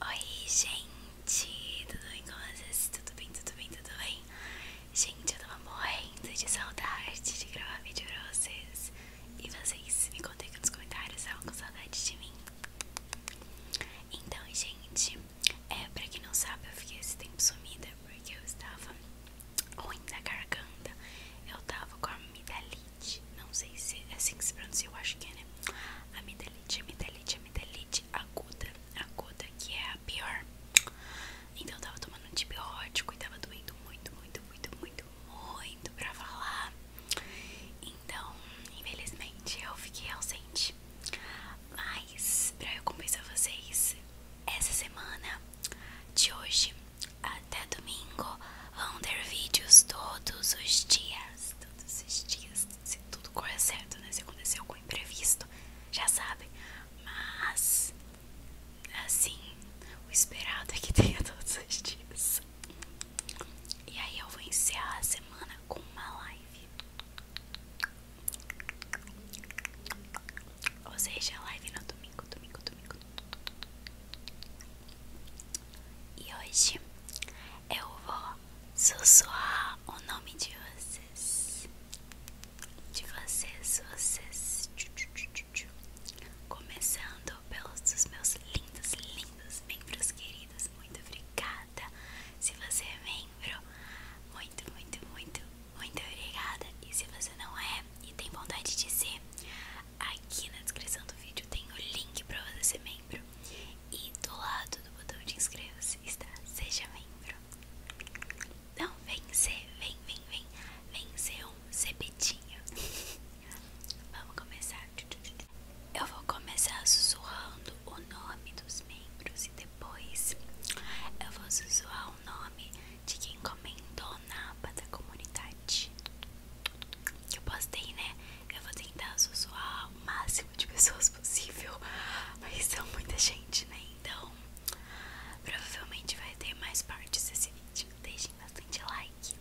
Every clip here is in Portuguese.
Oi, gente, tudo bem com vocês? Tudo bem, tudo bem, tudo bem? Gente, eu tava morrendo de saudade de gravar vídeo pra vocês. E vocês me contem aqui nos comentários, estavam é com saudade de mim. Então, gente, é, pra quem não sabe, eu fiquei esse tempo sumida porque eu estava ruim da garganta. Eu tava com amidalite. Não sei se é assim que se pronuncia, eu acho que é, né? Amidalite, amidalite, amidalite aguda. Aguda, que é a pior. Então eu tava tomando antibiótico e tava doendo muito, muito, muito, muito, muito pra falar. Então, infelizmente, eu fiquei ausente. Mas, pra eu compensar vocês, essa semana, de hoje até domingo, vão ter vídeos todos os dias. Todos os dias, se tudo correr certo, né? Se acontecer algum imprevisto, já sabem. Mas, assim, o esperado é que tenha todos os dias. E aí eu vou iniciar a semana com uma live. Ou seja, live no domingo, domingo, domingo. E hoje eu vou sussurrar o nome de vocês. De vocês, vocês. Começando pelos meus lindos, lindos membros queridos. Muito obrigada. Se você é membro, muito, muito, muito, muito obrigada. E se você não é e tem vontade de ser, aqui na descrição do vídeo tem o link para você ser membro. E do lado do botão de inscreva-se está Seja Membro. Então vem ser, vem, vem, vem, vem ser um cepetinho. Vamos começar. Eu vou começar sussurrando o nome dos membros e depois eu vou sussurrar o nome de quem comentou na aba da comunidade. Que eu postei, né? Eu vou tentar sussurrar o máximo de pessoas possível, mas são muita gente, né? Então provavelmente vai ter mais partes desse vídeo. Deixem bastante like.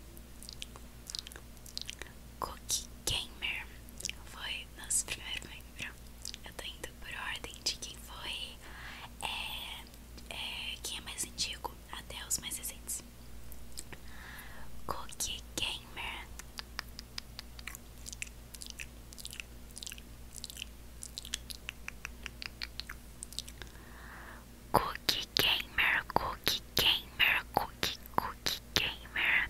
Cookie Gamer foi nosso primeiro membro. Eu tô indo por ordem de quem foi, é, é, quem é mais antigo até os mais recentes. Cookie Gamer. Cookie Gamer, Cookie Gamer, Cookie, Cookie Gamer.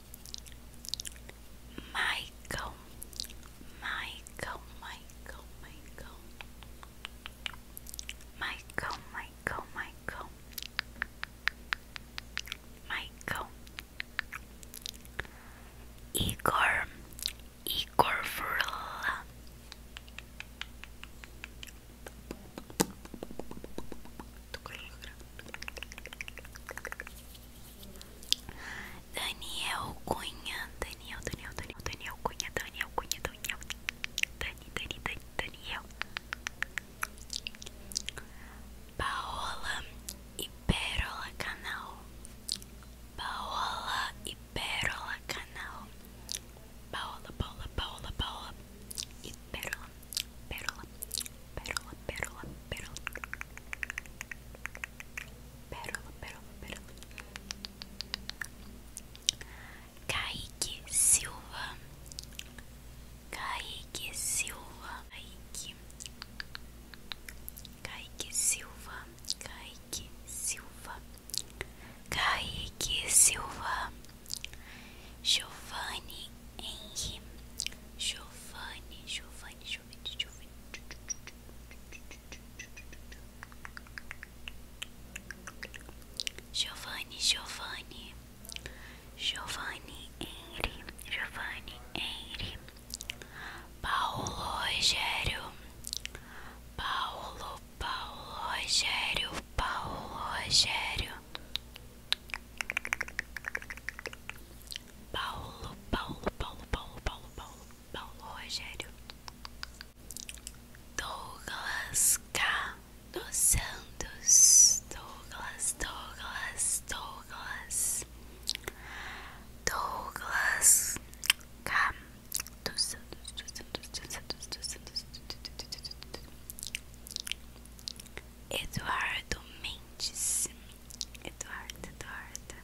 Michael, Michael, Michael, Michael, Michael, Michael, Michael, Michael, Igor, Igor Varela. Daniel Cunha, Daniel, Daniel, Daniel, Daniel Cunha, Daniel Cunha, Daniel, Dani, Dani, Daniel, Paola e Pérola Canal, Paola e Pérola Canal, Paola, Paola, Paola, Paola e Pérola, Pérola, Pérola, pérola, pérola. Pérola, pérola, pérola. Kaique Silva. Kaique Silva. Kaique. Kaique Silva. Kaique Silva. Kaique Silva. Giovanni Henri. Giovanni, Giovanni vai, deixa eu Giovanni, Giovanni, Giovanni Henry, Giovanni Henry, Paulo Rogério, Paulo, Paulo Rogério, Paulo Rogério, Paulo, Paulo, Paulo, Paulo, Paulo, Paulo, Paulo Rogério, Douglas K dos Santos, Douglas, Douglas, Douglas, Douglas K dos Santos, dos Santos, dos Santos, dos Santos, Eduardo Mendes. Eduardo, Eduardo.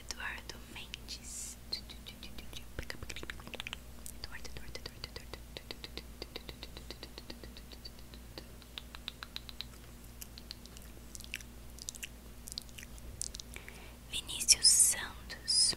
Eduardo Mendes. Eduardo, Eduardo, Eduardo, Eduardo. Vinícius Santos.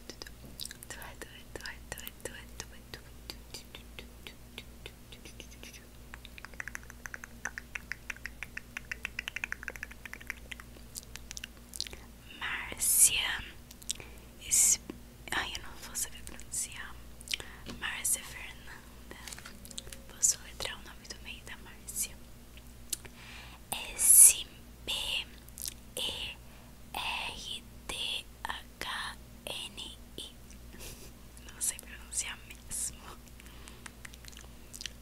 Márcia Esse... Ai, eu não vou saber pronunciar Márcia Fernanda Posso letrar o nome do meio da Márcia S-B-E R-D-H-N-I. Não sei pronunciar mesmo.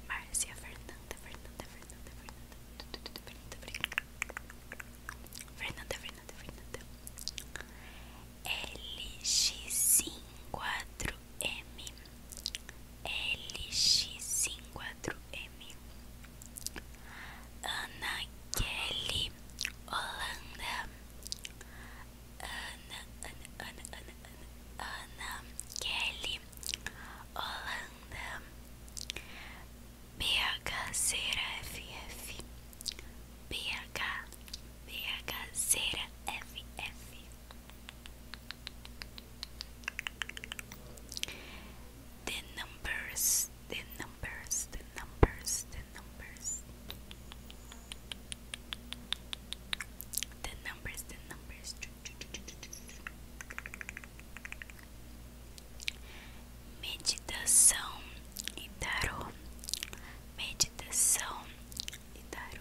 Márcia Fernanda, Fernanda, Fernanda, Fernanda, Fernanda, Fernanda, Fernanda, Fernanda. LX54M. LX54M. Ana Kelly Hollanda Ana Ana Ana Ana Ana, Ana Kelly Hollanda the numbers the numbers, the numbers, the numbers. The numbers, the numbers. Meditação e tarô. Meditação e tarô.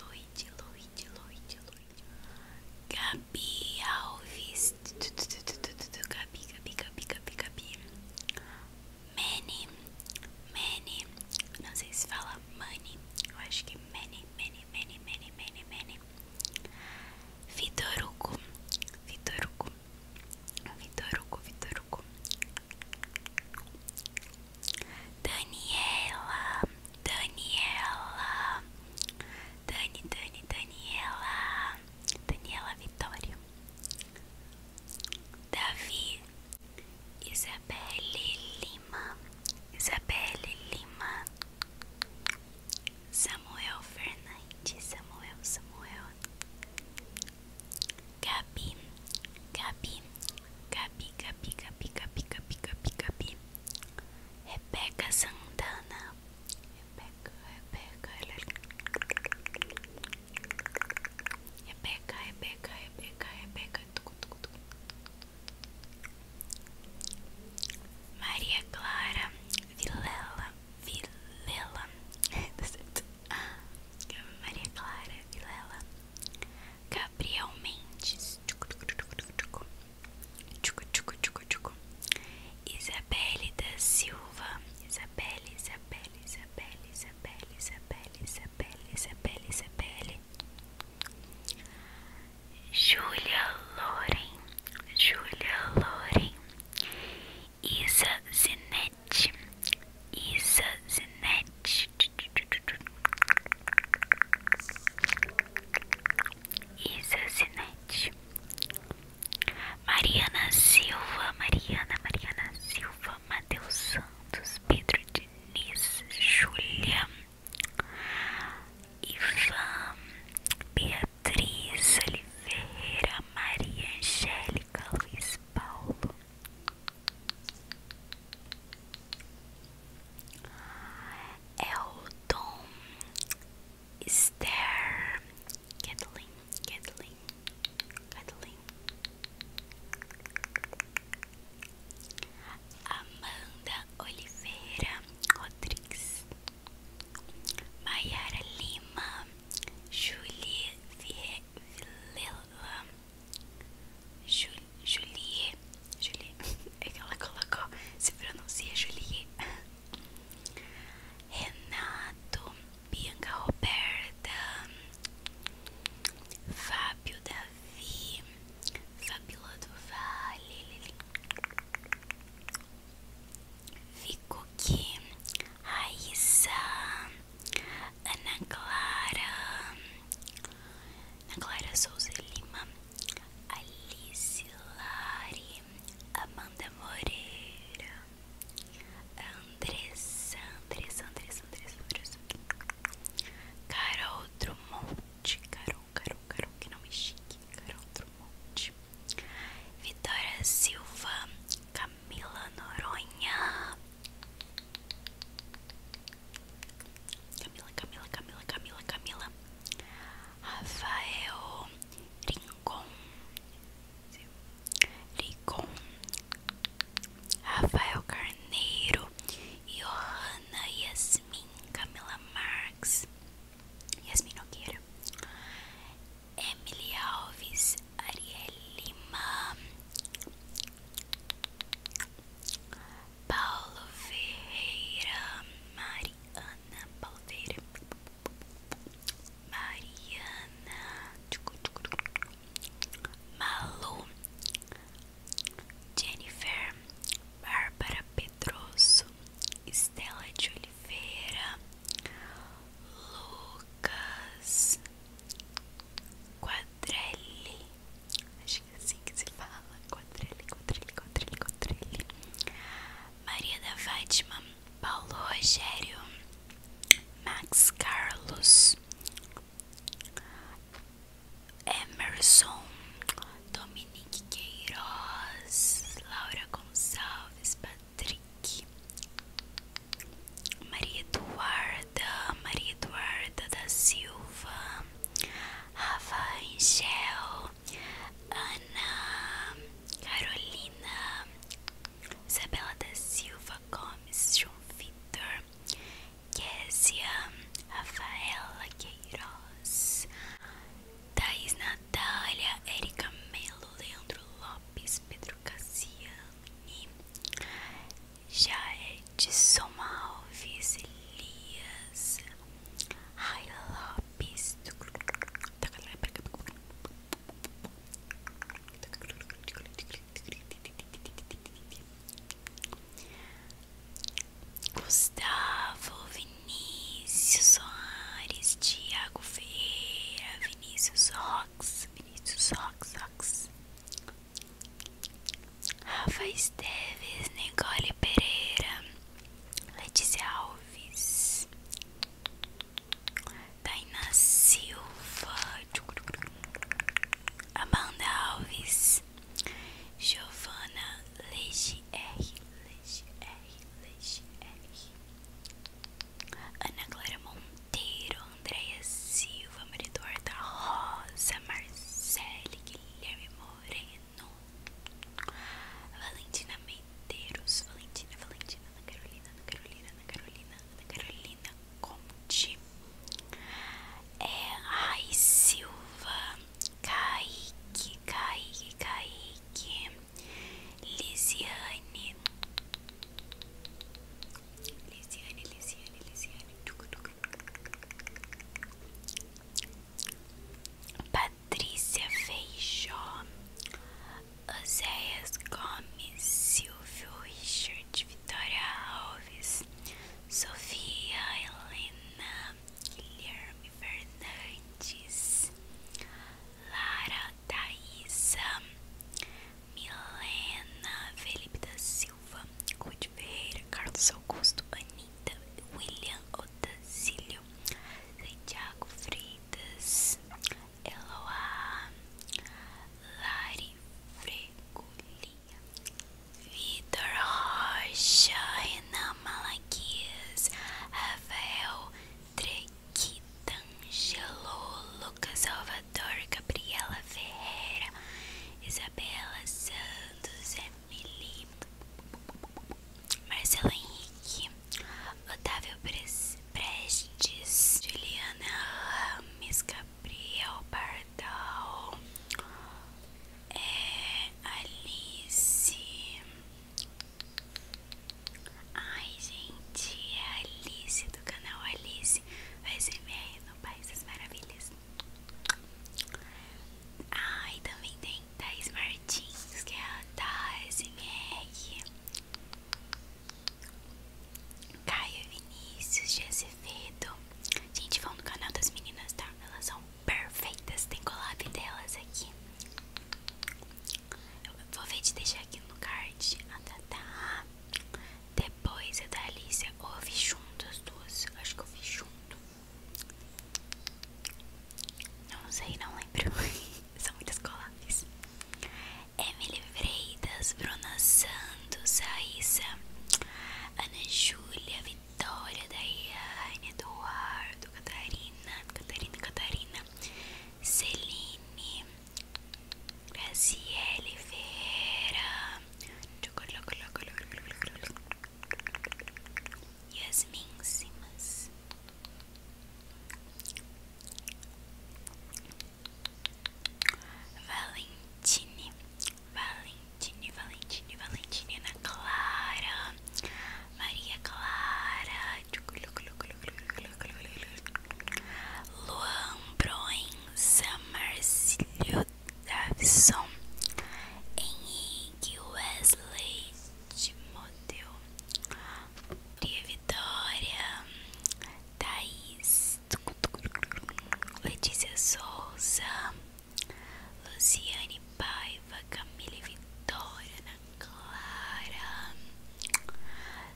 Luide, Luide, Luide, Luide. Gabi Alves. Gabi, Gabi, Gabi, Gabi, Gabi. Many, many. Não sei se fala money. Eu acho que é many, many, many, many, many, many. Vitor Hugo. Vitor Hugo, Vitor Hugo. Daniela, Daniela, Dani, Dani, Daniela, Daniela Vitória, Davi, Isabelle Lima, Isabelle Lima, Samuel Fernandes, Samuel, Samuel, Gabi, Gabi, Gabi, Gabi, Gabi, Gabi, Gabi, Gabi, Gabi, Rebeca Santana, Rebeca, Rebeca, Rebeca, Rebeca, Rebeca, Rebeca, tucu, tucu, tucu. Maria Clara Vilela Vilela. Tá Maria Clara Vilela. Gabriel Mendes. Isabelle da Silva. Isabelle, Isabelle, Isabelle, Isabelle, Isabelle, Isabelle, Isabelle, Isabelle. Julia Loren. Julia Loren. Isa Zinete. Isa Zinete. Isa Zinete. Mariana Silva, Mariana, Mariana Silva, Matheus Santos, Pedro Denise, Júlia, Ivan, Beatriz Oliveira, Maria Angélica, Luiz Paulo. Elton Esther Kathleen, Kathleen, Kathleen Amanda Oliveira Rodrigues Maiara Lima Julie Villela Julie, Julie É que ela colocou Se pronuncia Julie Renato Bianca Roberta Fábio Davi Fabíola do Vale Vico Raíssa, Ana Clara, Ana Clara Souza Lima, Alice Lari, Amanda Moreira, Andressa, Andressa, Andressa, Andressa, Andressa, Carol Drummond, Carol, Carol, Carol, que não me chique, Carol Drummond, Vitória Silva, Camila Noronha. Camila, Camila, Camila, Camila, Camila. Rafael Rincon. Rincon. Rafael Carneiro. Johanna Yasmin. Camila Marx. Yasmin Oqueira. Emily Alves, Ariel Lima, Paulo Ferreira, Mariana Paldeira, Mariana Malu, Jennifer, Bárbara Pedroso, Estela Juliana. Oliveira, Lucas Quadrelli, acho que é assim que se fala, Quadrelli, Quadrelli, Quadrelli, Quadrelli, Maria da Fátima, Paulo Rogério, Max Carlos, Emerson, Dominique Queiroz, Laura Gonçalves, Patrick, Maria Eduarda, Maria Eduarda da Silva, Rafa Angel, Ana, Carolina, Isabela da Silva Gomes, João Vitor, Késia, Rafaela Queiroz, Thaís Natália, Erika Melo, Leandro Lopes, Pedro Cassiani, Jared Somalves, Elias, Raia Lopes, Gustavo, Vinícius Soares, Tiago Ferreira, Vinícius Rox, Vinícius Rox, Rox. Rafa Esteves, Nicole Pereira, Letícia Alves, Taina Silva, Amanda Alves, Giovana Leite R, Leite R, Leite R, Ana Clara Monteiro, Andréia Silva, Maria Eduarda Rosa, Marcele, Guilherme Moreno, Valentina Medeiros, Valentina, Valentina, Ana Carolina, Ana Carolina, Ana Carolina, Carolina Conte, é, Ai Silva, Kaique, Kaique, Kaique, Lisiane Lisiane, Lisiane, Lisiane Patrícia Feijó Oséias Gomes Silvio Richard Vitória Alves Sofia Helena Guilherme Fernandes Lara, Thaisa, Milena, Felipe da Silva, Ruth Ferreira, Carlos Augusto, Anita, William Otacílio, Santiago Freitas, Eloá, Lari Fregolinha, Vitor Rocha, Renan Malaquias, Rafael Drake. Kitangelo, Lucas Salvador, Gabriela Ferreira, Isabela Santos, Emily, Marcelo Henrique, Otávio Prestes, Juliana Rames, Gabriel Pardal, é, Alice. Ai, gente, é a Alice do canal Alice ASMR no País das Maravilhas. Ai, também tem Thais Martins, que é a da Caio Vinícius de Acevedo. Gente, vão no canal das meninas, tá? Elas são perfeitas, tem collab delas aqui vou ver de deixar aqui no card a Tatá. Depois a é da Alicia. Ou junto as duas. Acho que ouvi junto. Não sei, não lembro. São muitas collabs. Emily Freitas, Bruna Santos, Raíssa, Ana Júlia, Vitória, Daiane, Eduardo, Catarina, Catarina, Catarina. Moura, Celine, Graziele Ferreira, Yasmin Simas. Valentine, Valentine, Valentine, Valentina Ana Clara, Maria Clara, Luan Broen, Summercilio Davison, Henrique Wesley Timoteu, Maria Vitória, Thaís, Letícia Souza, Luciane Paiva, Camila Vitória, né? Clara,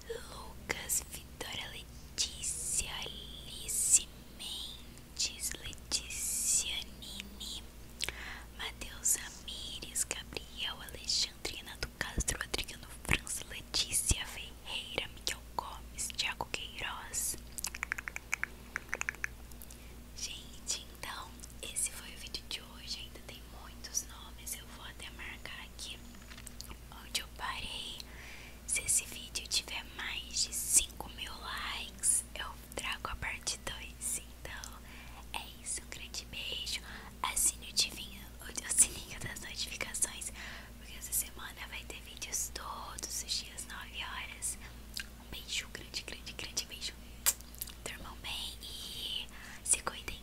Lucas, Vitória, Letícia, Alice Mendes, Letícia Nini, Matheus Amires, Gabriel, Alexandrina do Castro, Adriano França, Letícia Ferreira, Miguel Gomes, Thiago Queiroz. Gente, então esse foi o vídeo de hoje hoje ainda tem muitos nomes, eu vou até marcar aqui onde eu parei. Se esse vídeo tiver mais de 5 mil likes, eu trago a parte 2. Então é isso, um grande beijo. Assine o, divinho, o sininho das notificações, porque essa semana vai ter vídeos todos os dias, 9 horas. Um beijo, grande, grande, grande beijo. Dormam bem e se cuidem.